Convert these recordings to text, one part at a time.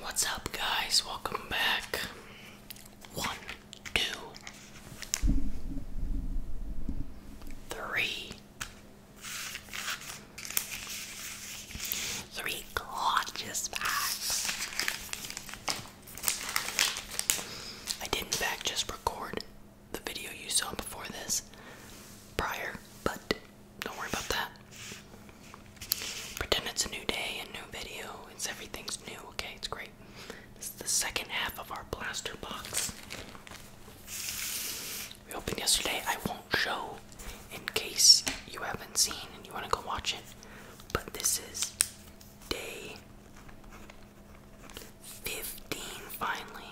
What's up, guys? Welcome back. One, two, three, three gorgeous bags. I did, in fact, just record the video you saw before this prior, but don't worry about that. Pretend it's a new day, a new video. It's everything's new, okay? It's great. This is the second half of our blaster box. We opened yesterday. I won't show in case you haven't seen and you want to go watch it. But this is day 15 finally.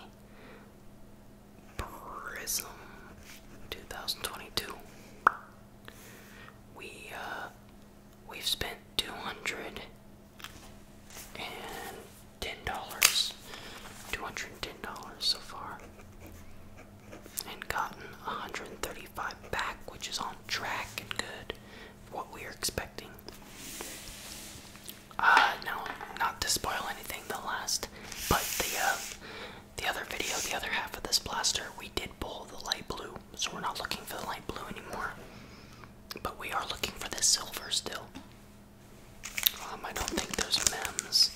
Prism 2022. We uh we've spent two hundred and ten dollars. Two hundred and ten dollars so far. And gotten 135 back, which is on track and good what we were expecting. Uh, now, not to spoil anything, the last, but the uh, the other video, the other half of this blaster, we did pull the light blue, so we're not looking for the light blue anymore. But we are looking for the silver still. Um, I don't think there's MEMS.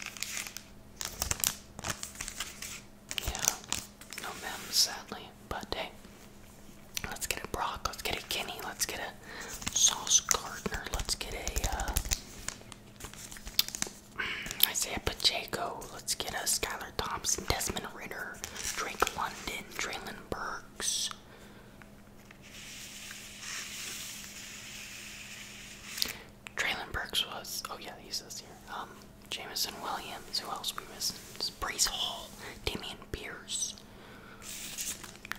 Yeah, no MEMS sadly, but hey. Let's get a Brock, let's get a Kenny, let's get a Sauce Gardner, let's get a uh, I Isaiah Pacheco. Let's get a Skylar Thompson, Desmond Ritter, Drake London, Traylon Burks. Traylon Burks was. Oh yeah, he's this here. Um, Jamison Williams. Who else we missing? Brees Hall, Damian Pierce,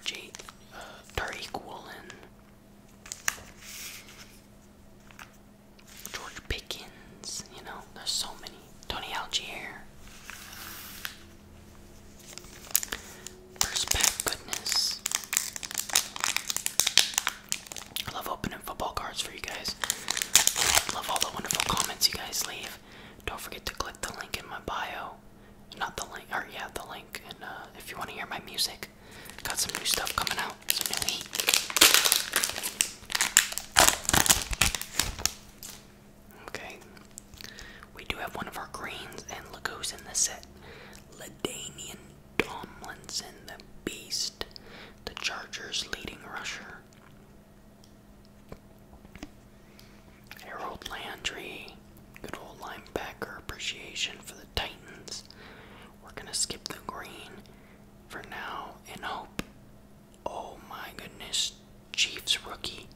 J. Uh, Woolen. George Pickens, you know, there's so many. Tony Algier. First pack, goodness. I love opening football cards for you guys. I love all the wonderful comments you guys leave. Don't forget to click the link in my bio. Not the link, or yeah, the link. And uh, if you want to hear my music, Got some new stuff coming out, Okay. We do have one of our greens, and look who's in the set. Ladanian Tomlinson, the beast, the Chargers' leading rusher. Harold Landry, good old linebacker appreciation for the Titans. We're gonna skip the green for now and hope. Oh my goodness, Chiefs rookie.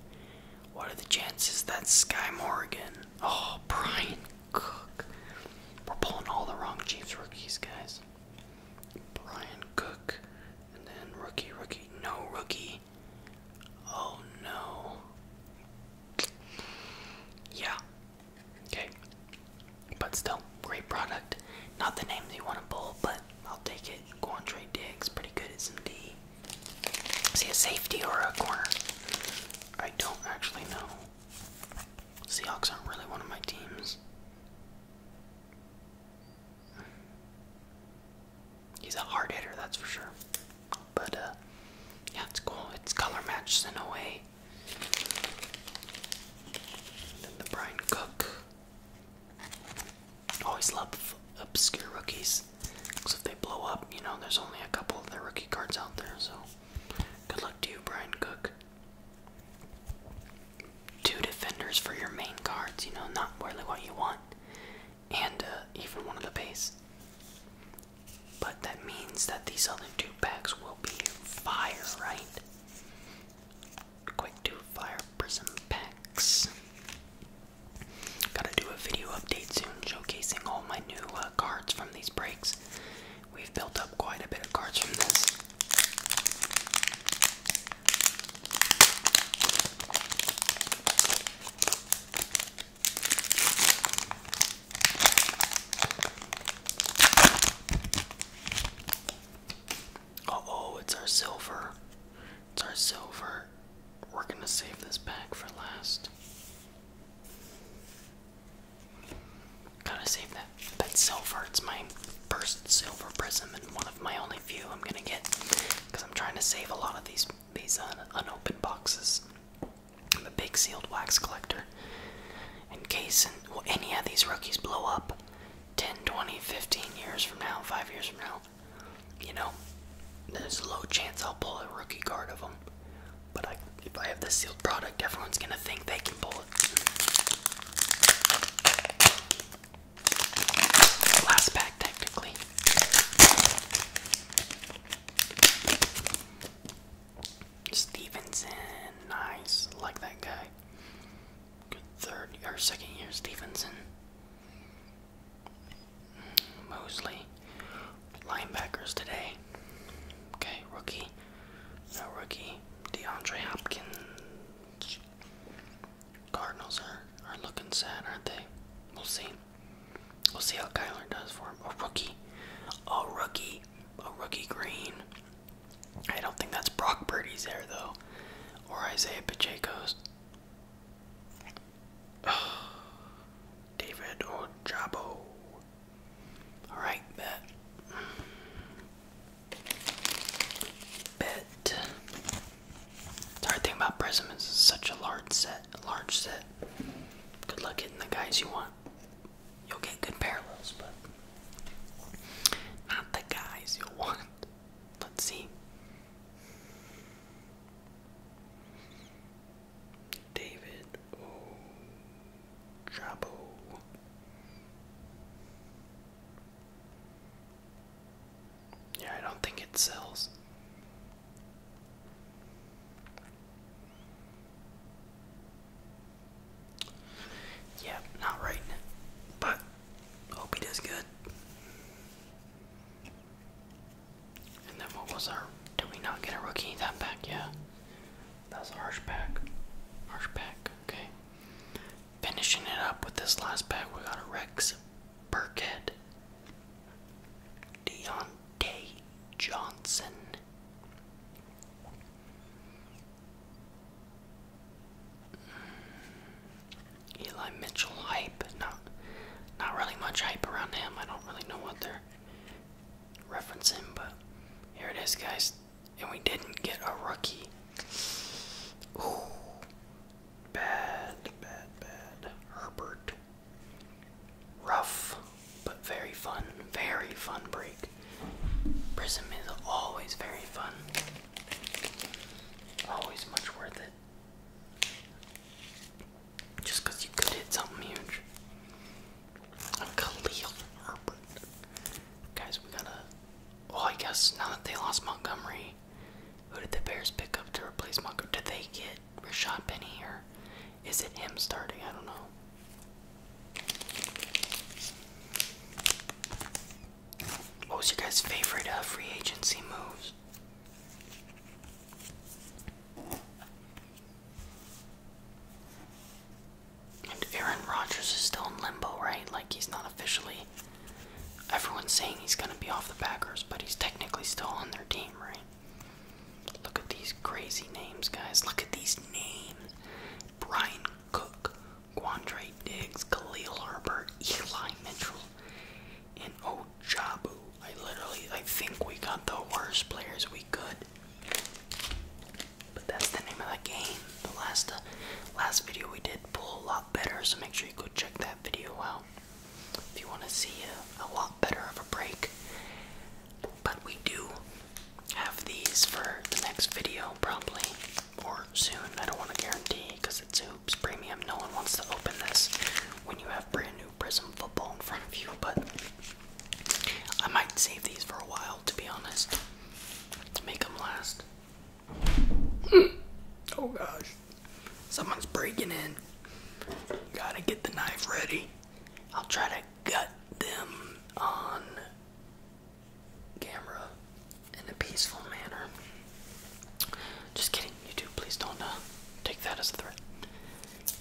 What are the chances that Sky Morgan? Oh, Brian Cook. We're pulling all the wrong Chiefs rookies, guys. Brian Cook. And then rookie, rookie. No rookie. Oh no. Yeah, Okay. But still, great product. Not the names you want to pull, but I'll take it. Quantre Diggs, pretty good at some D. Is a safety or a corner? I don't actually know. Seahawks aren't really one of my teams. He's a hard hitter, that's for sure. But uh, yeah, it's cool. It's color matched in a way. then the Brian Cook. Always love obscure rookies. Because if they blow up, you know, there's only a couple of their rookie cards out there. So good luck to you, Brian Cook. Two defenders for your main cards, you know, not really what you want. And uh, even one of the base. But that means that these other two packs will be fire, right? Quick two fire prism packs. Gotta do a video update soon showcasing all my new uh, cards from these breaks. We've built up quite a bit of cards from this oh, it's our silver. It's our silver. We're gonna save this pack for last. Gotta save that. That silver. It's my first silver prism and one of my only few I'm gonna get because I'm trying to save a lot of these these unopened boxes. I'm a big sealed wax collector. In case any of these rookies blow up 10, 20, 15 years from now, 5 years from now, you know, there's a low chance I'll pull a rookie card of them. But if I have this sealed product, everyone's going to think they can pull it. Last pack, technically. Stevenson, nice, like that guy. Good third or second year Stevenson. Mosley. Linebackers today. Okay, rookie. No rookie. DeAndre Hopkins. Cardinals are, are looking sad, aren't they? We'll see. We'll see how Kyler does for him. A rookie. A rookie. A rookie green. I don't think that's Brock Purdy's there, though. Or Isaiah Pacheco's. Oh, David Ojabo. Alright, bet. Bet. hard thing about Prism is such a large set. A large set. Good luck hitting the guys you want. You'll get good parallels, but not the guys you want. Let's see. David Ojabo. Yeah, I don't think it sells. Yeah, not right, but hope he does good. And then what was our? Did we not get a rookie that back? Yeah, that's Harsh pack. Harsh pack. Okay. Finishing it up with this last pack, we got a Rex Burkhead, Deontay Johnson, hmm. Eli Mitchell hype. Not, not really much hype around him. I don't really know what they're referencing, but here it is, guys. And we didn't get a rookie. Ooh. Bad, bad, bad. Herbert. Rough, but very fun. Very fun break. Prism is always very fun. Always much worth it. Just because you could hit something huge. A Khalil Guys, we gotta. Well, I guess now that they lost Montgomery, who did the Bears pick up to replace Montgomery? Did they get it Rashad Penny or is it him starting? I don't know. What was your guys' favorite uh, free agency moves? And Aaron Rodgers is still in limbo, right? Like he's not officially Everyone's saying he's going to be off the Packers, but he's technically still on their team, right? Look at these crazy names, guys. Look at these names. Brian Cook, Quandre Diggs, Khalil Herbert, Eli Mitchell, and Ojabu. I literally, I think we got the worst players we could. But that's the name of the game. The last, uh, last video we did pulled a lot better, so make sure you go check that video out if you want to see a, lot better of a break. But we do have these for the next video, probably, or soon. I don't want to guarantee because it's Hoops Premium. No one wants to open this when you have brand new Prism football in front of you, but I might save these for a while, to be honest, to make them last. oh gosh. Someone's breaking in. Gotta get the knife ready. I'll try to gut them on camera in a peaceful manner. Just kidding, you two. Please don't uh, take that as a threat.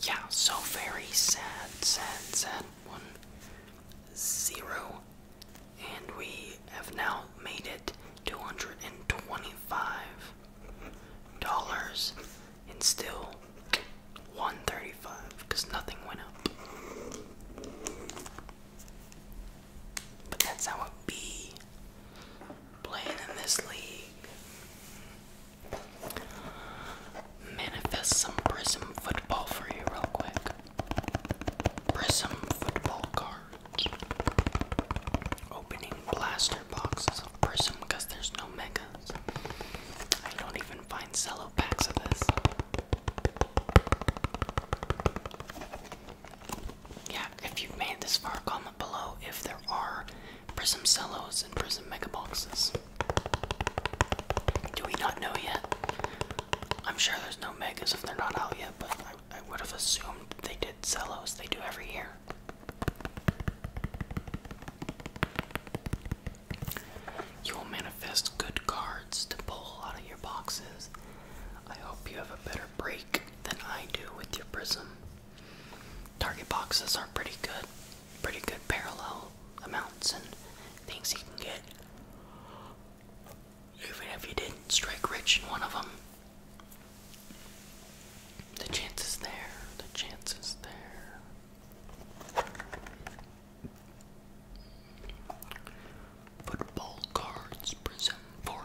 Yeah, so very sad, sad, sad. One, zero, and we have now made it 225 dollars and still 135 because nothing went up. But that's how it be playing in this league. Manifest some prism football for you real quick. Prism football cards. Opening blaster boxes of Prism because there's no megas. I don't even find cello packs of this. Yeah, if you've made this far, comment below if there are Prism cellos and Prism mega boxes. Do we not know yet? I'm sure there's no megas if they're not out yet, but I would have assumed they did cellos. They do every year. You will manifest good cards to pull out of your boxes. I hope you have a better break than I do with your prism. Target boxes are pretty good, pretty good parallel amounts and things you can get. Even if you didn't strike rich in one of them, the chance is there, the chance is there. Football cards present for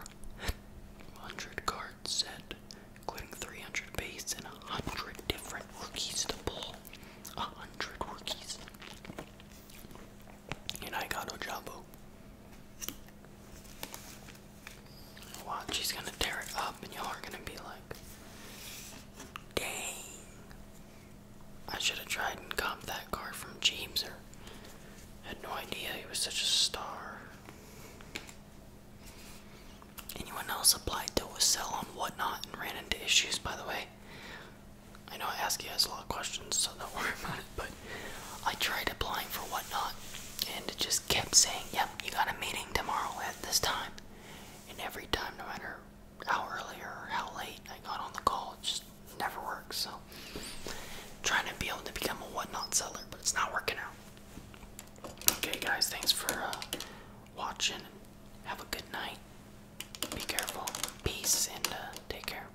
100 card set, including 300 base and 100 different rookies to pull. 100 rookies and I got Ojabo. Watch, he's gonna tear it up, and y'all are gonna be like, dang. I should have tried and got that card from James, or had no idea he was such a star. Anyone else applied to a cell on whatnot and ran into issues, by the way? I know I ask you guys a lot of questions, so don't worry about it, but I tried applying for whatnot, and it just kept saying, "Yep, you got a meeting tomorrow at this time." And every time, no matter how early or how late I got on the call, it just never works. So, trying to be able to become a whatnot seller, but it's not working out. Okay, guys, thanks for uh, watching. Have a good night. Be careful. Peace and uh, take care.